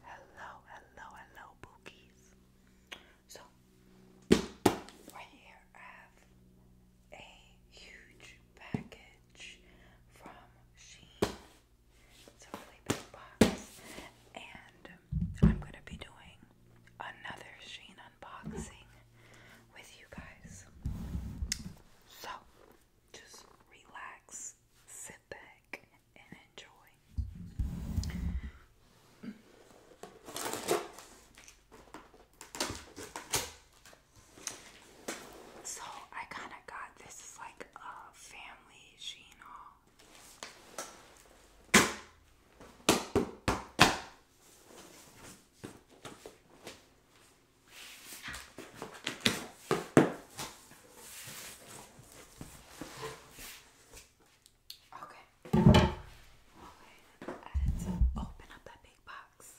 Hello, hello, hello, bookies. So, right here I have a huge package from Sheen. It's a really big box, and I'm going to be doing another Sheen unboxing with you guys. So, just relax, sit back, so I kind of got this like a family gene. Okay. Okay. Let's open up that big box.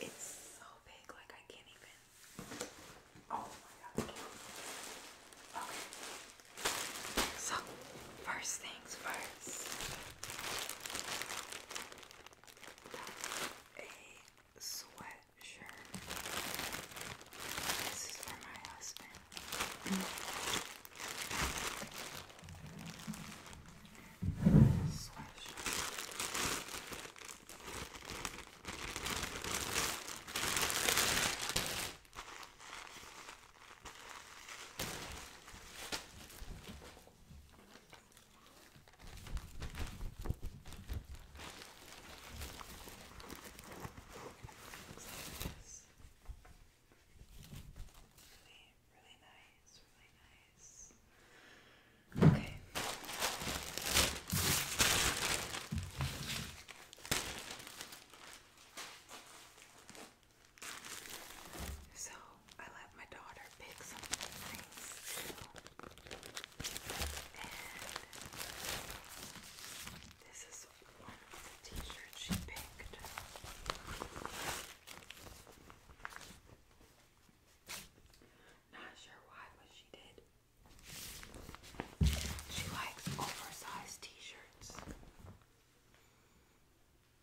It's so big, like I can't even. Oh my god. Okay. So, first things first a sweatshirt. This is for my husband. Sweatshirt. Looks like this. Really, really nice, really nice. Okay. So I let my daughter pick some things And this is one of the t-shirts she picked. Not sure why, but she did. She likes oversized t-shirts.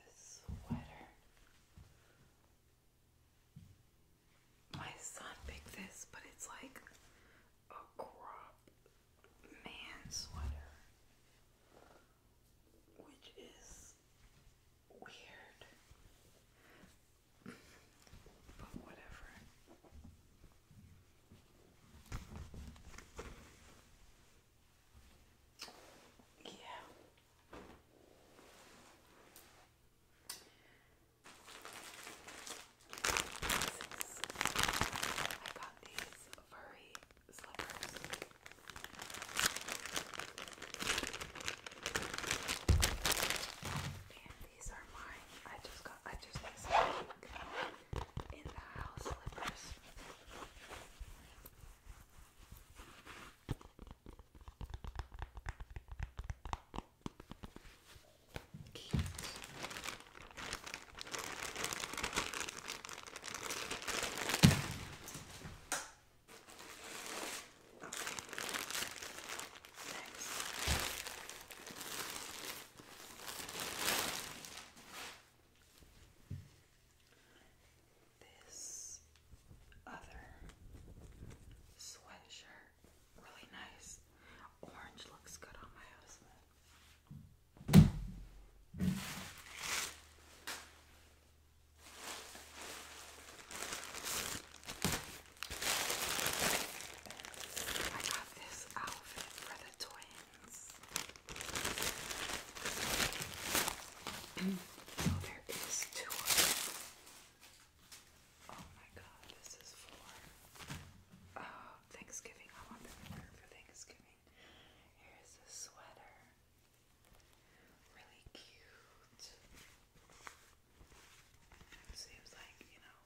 This sweater. My son picked this, but it's like a crop man sweater, which is weird. But whatever. Yeah. I got these furry slippers. And these are mine. I just got. I just got some in the house slippers. This other sweatshirt, really nice. Orange looks good on my husband. I got this outfit for the twins. so oh, there is two of them. Oh my god, this is for oh, Thanksgiving. I want them to wear for Thanksgiving. Here's a sweater. Really cute. Seems like, you know,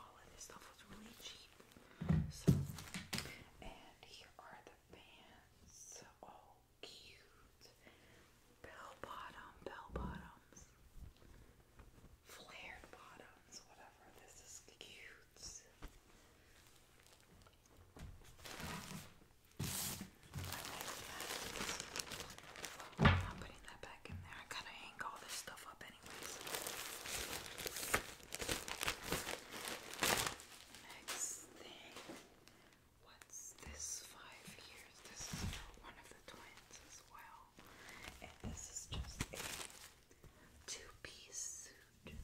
all of this stuff was really cheap. So, and here are the pants. All oh, cute. Bell bottom, bell bottoms. Flared bottoms, whatever. This is cute. I'm putting that back in there. I gotta hang all this stuff up, anyways. Next thing, what's this five years? This is one of the twins as well. And this is just a two piece suit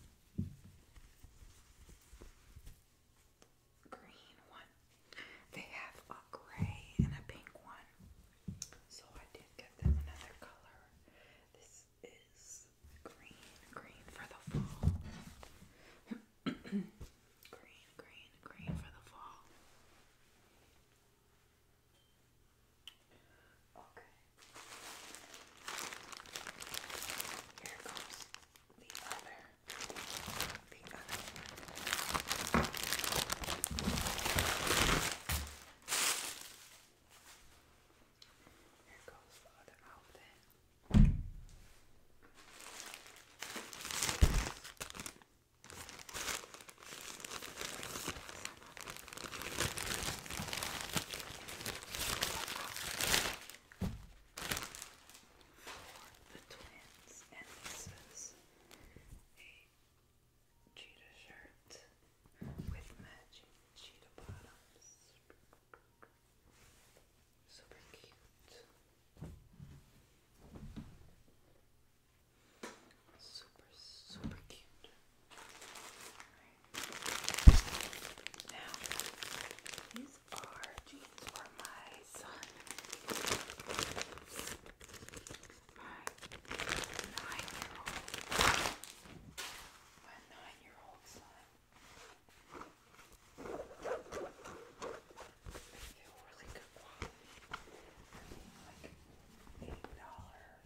green one. They have a gray and a pink one. So I did get them another color. This is green, green for the fall. green, green, green for the fall. Okay. Here goes the other the other one. Here goes the other outfit. This for the twins, and this is a cheetah shirt with matching cheetah bottoms. Super cute. Super, super cute. Now, are jeans for my son. My nine-year-old. My nine-year-old son. They feel really good quality. like eight dollars.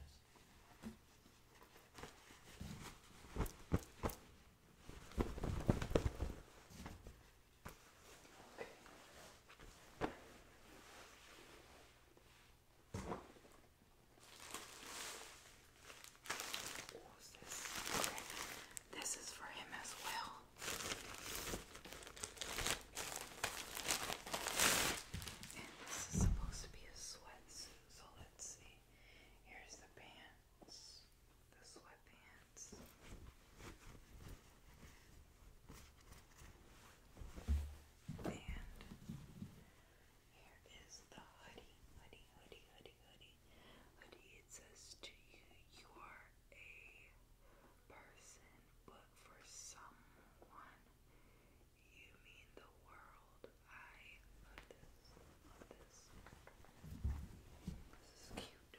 What was Okay. This is for him as well. And this is supposed to be a sweatsuit, so let's see. Here's the pants the sweatpants. And here is the hoodie, hoodie, hoodie, hoodie, hoodie, hoodie. It says to you, you are a person, but for someone, you mean the world. I love this, love this. This is cute.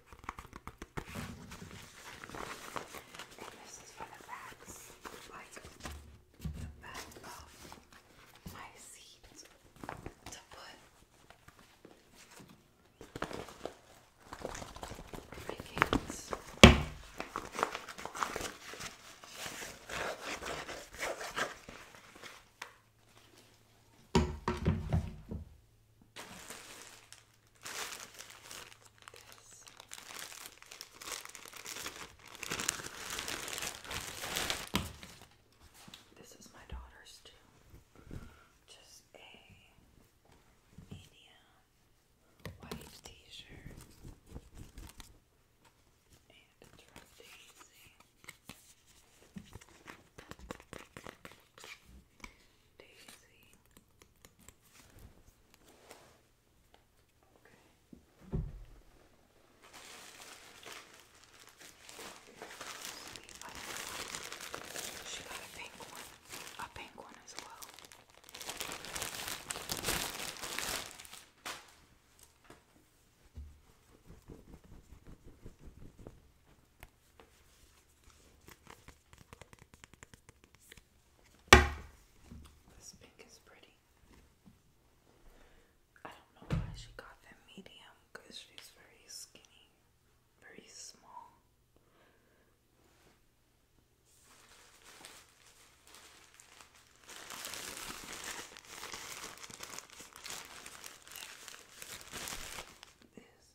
And this is for the backs, like the back of my seat to put my kids this. is my daughter's too. Just a medium white t-shirt. And it's from Daisy. Okay. She got a pink one. A pink one as well. This pink is pretty. I don't know why she got that medium because she's very skinny, very small. This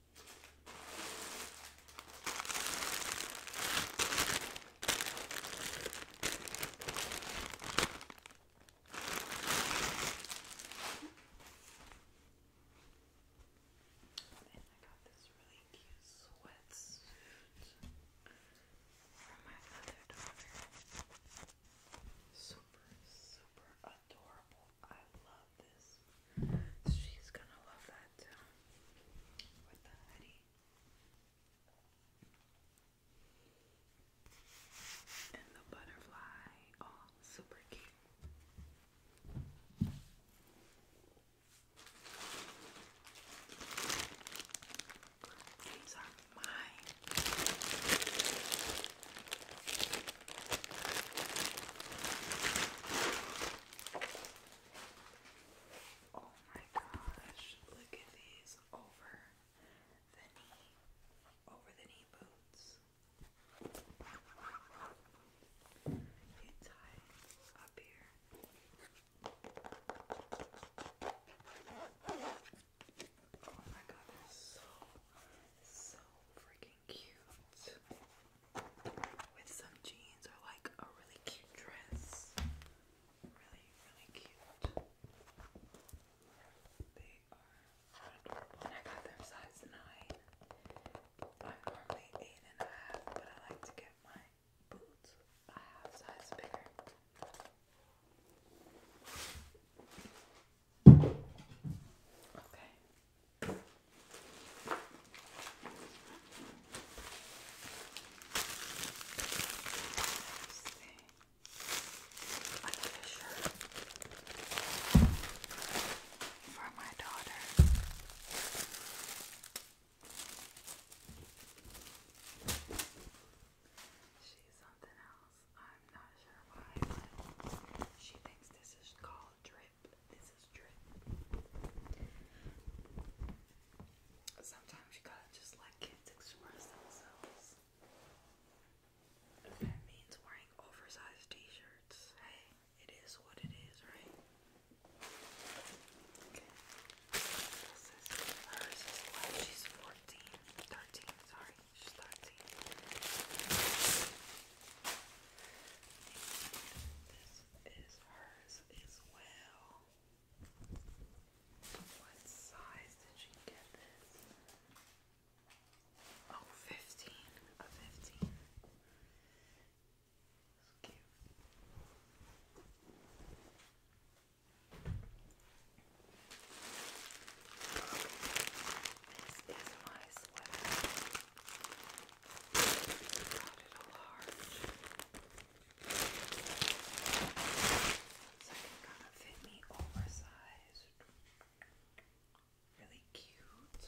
And I got this really cute sweatsuit from my other daughter. Super, super adorable I love this. She's gonna love that too. With the hoodie. And the butterfly. Oh, super cute. These are mine. Oh my gosh, look at these over the knee, over the knee boots. You tie up here. Oh my god, they're so, so freaking cute with some jeans or like a really cute dress. Really, really cute. They are And I got them size 9. I'm normally 8 but I like to get my boots a half size bigger. Okay. Let's see. shirt for my daughter. She's something else. I'm not sure why, but she thinks this is called drip. Sometimes you gotta just let kids express themselves. If that means wearing oversized t-shirts, hey, it is what it is, right? This is hers She's 14. sorry starting this is hers as well. What size did she get this? Oh, 15. A cute. This is my sweater. Got it a large. So it can kind of fit me oversized. Really cute. It's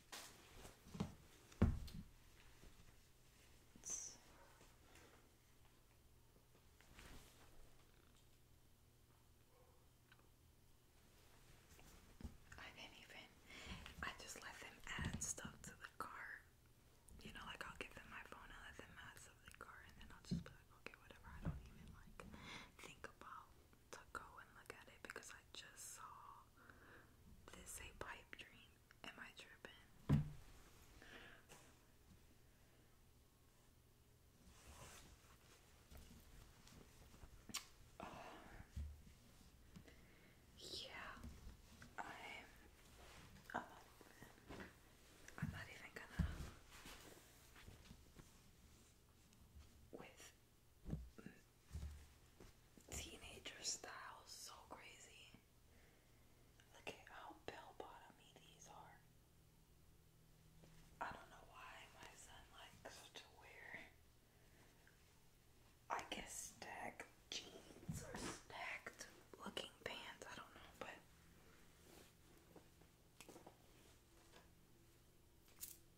It's I didn't I just let them add stuff to the cart. You know, like I'll give them my phone and let them add stuff to the cart and then I'll just be like, okay, whatever. I don't even like think about to go and look at it because I just saw this a pipe dream? Am I tripping? yeah, I'm, I'm not even gonna, with teenager style, so crazy. Look at how bell bottomy these are. I don't know why my son likes to wear, I guess, stacked jeans or stacked looking pants. I don't know, but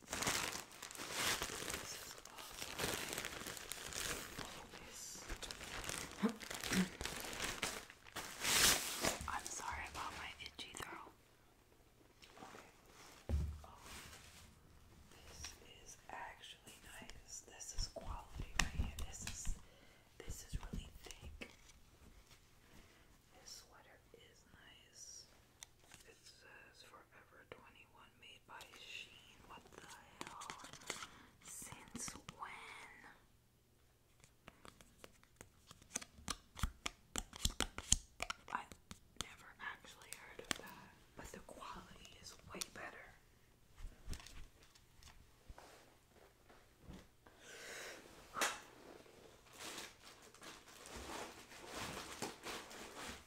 This is I'm sorry about my itchy throat. Oh, this is actually nice. This is quality right here. This is this is really thick. This sweater is nice. It says Forever 21 me by Sheen. What the hell? Since when? I never actually heard of that, but the quality is way better. Here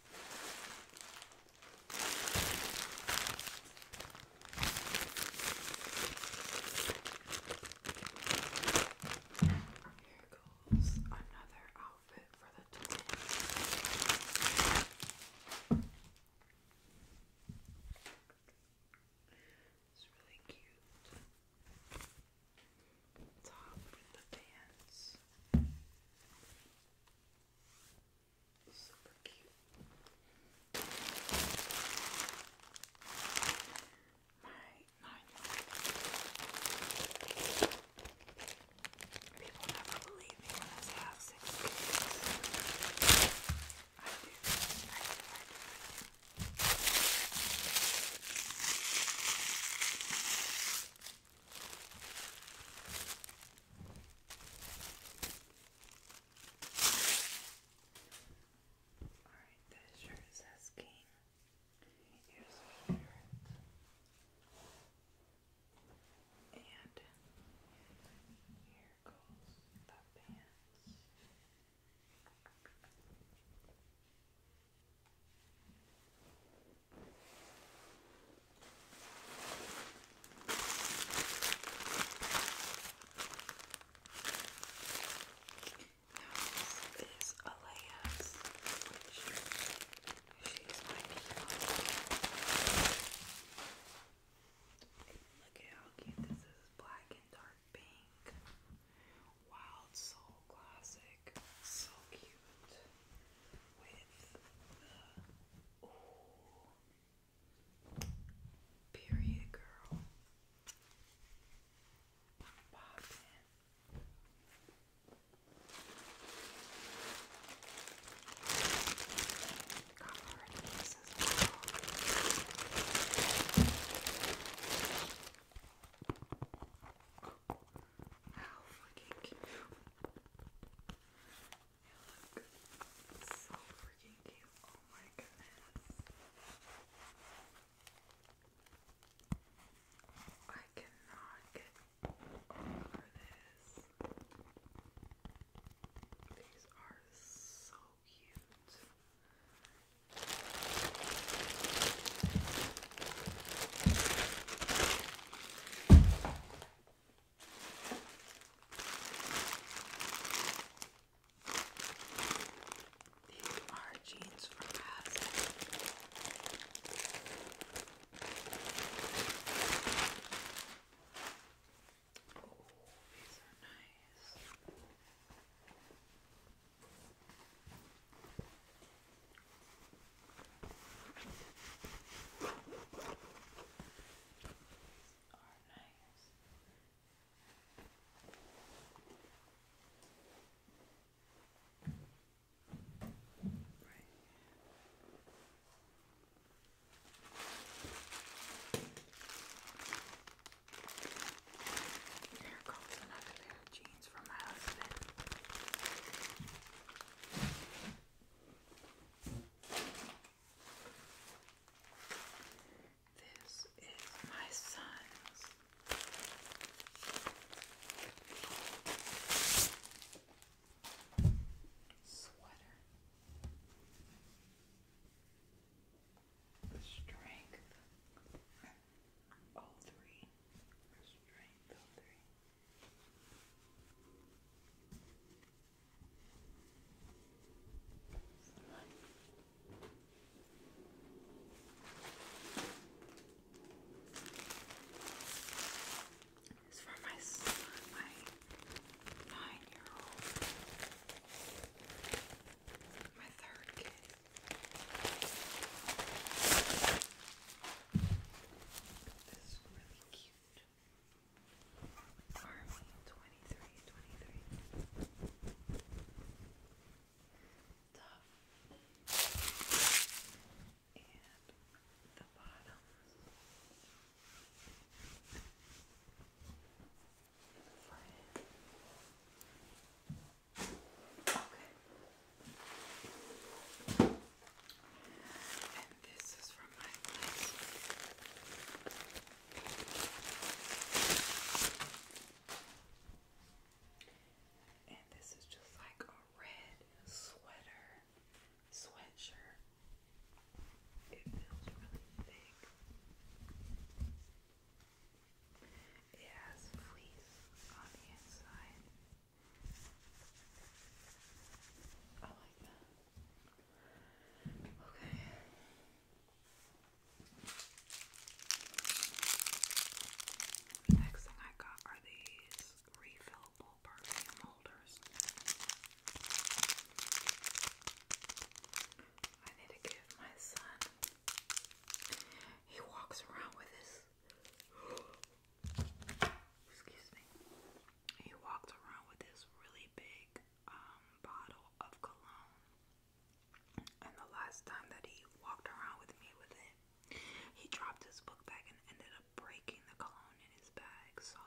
goes another outfit for the tour. It's really cute top with the pants. Super cute. My 9 People never believe me when I say I have six kids. I do. I do. I do. Alright, that shirt says king. Here's the shirt. And here goes the pants. Now this is Alea's, she's my peacock. Look at how cute this is, black and dark pink. Wild Soul Classic so cute with the period girl poppin'. Got more this as how fucking cute. You look so freaking cute. Oh my goodness. I cannot get over this. These are so cute. These are jeans from Paz. Oh, these are nice are nice. Right. There goes another pair of jeans. It's from This is my son's. Sweater. Strength all three. Strength, all three. It's for my son, my nine-year-old, my third kid. This is really cute. Army 2323. Tough. And the bottom. And the forehead. And this is from my place. And this is just like a red sweater, sweatshirt. It feels really thick. It has fleece on the inside. I like that. Okay. next thing I got are these refillable perfume holders. I need to give my son. He walks around with his he walked around with this really big um, bottle of cologne. And the last time that he walked around with me with it, he dropped his book bag and ended up breaking the cologne in his bag. So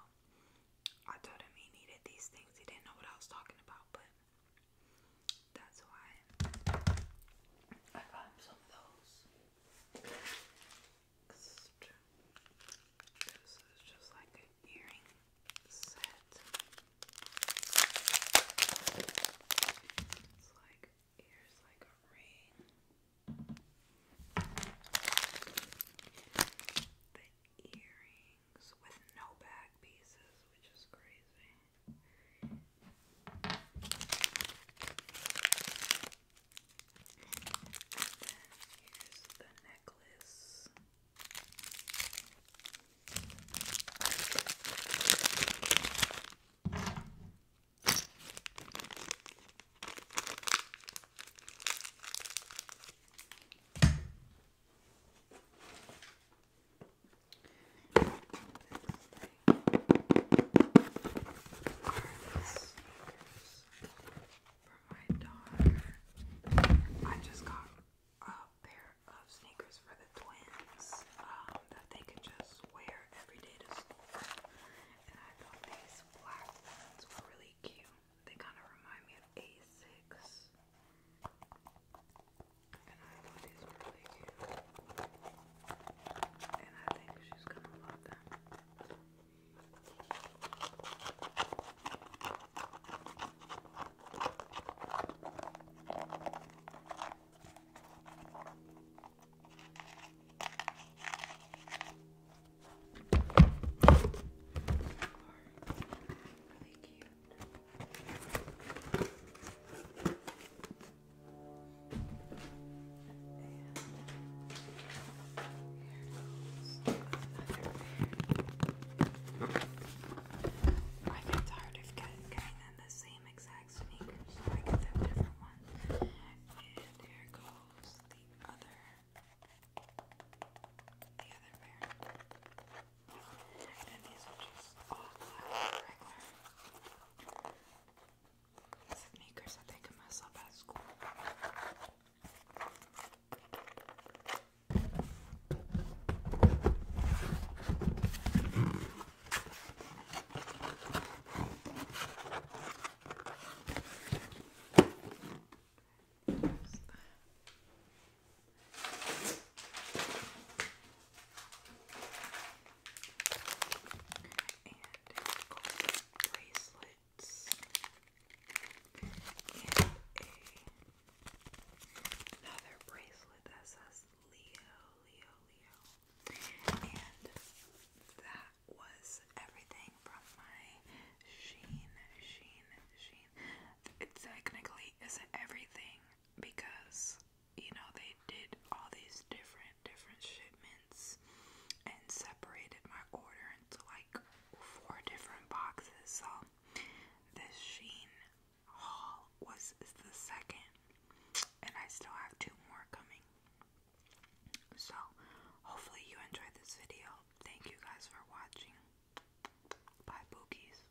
I told him he needed these things. He didn't know what I was talking about, but that's why I got some of those. This is just like an earring set. It's like ears like a ring. The earrings with no back pieces, which is crazy here's the necklace for my daughter. I just got a pair of sneakers for the twins um, that they could just wear every day to school. And I thought these black ones were really cute. They kind of remind me of a and I thought these were really cute. And I think she's gonna love them. Really cute. I get tired of getting, the same exact sneakers, so I get them different ones. And here goes the other, the other pair. And these are just all black, regular sneakers I think I mess up at school. There's the gold bracelets and a, another bracelet that says Leo, Leo, Leo. And that was everything from my Sheen, Sheen, Sheen. It technically isn't everything because you know, they did all these different, different shipments and separated my order into like four different boxes. So, this Sheen haul was the second, and I still have two more coming. So, hopefully, you enjoyed this video. Thank you guys for watching. Bye, Bookies.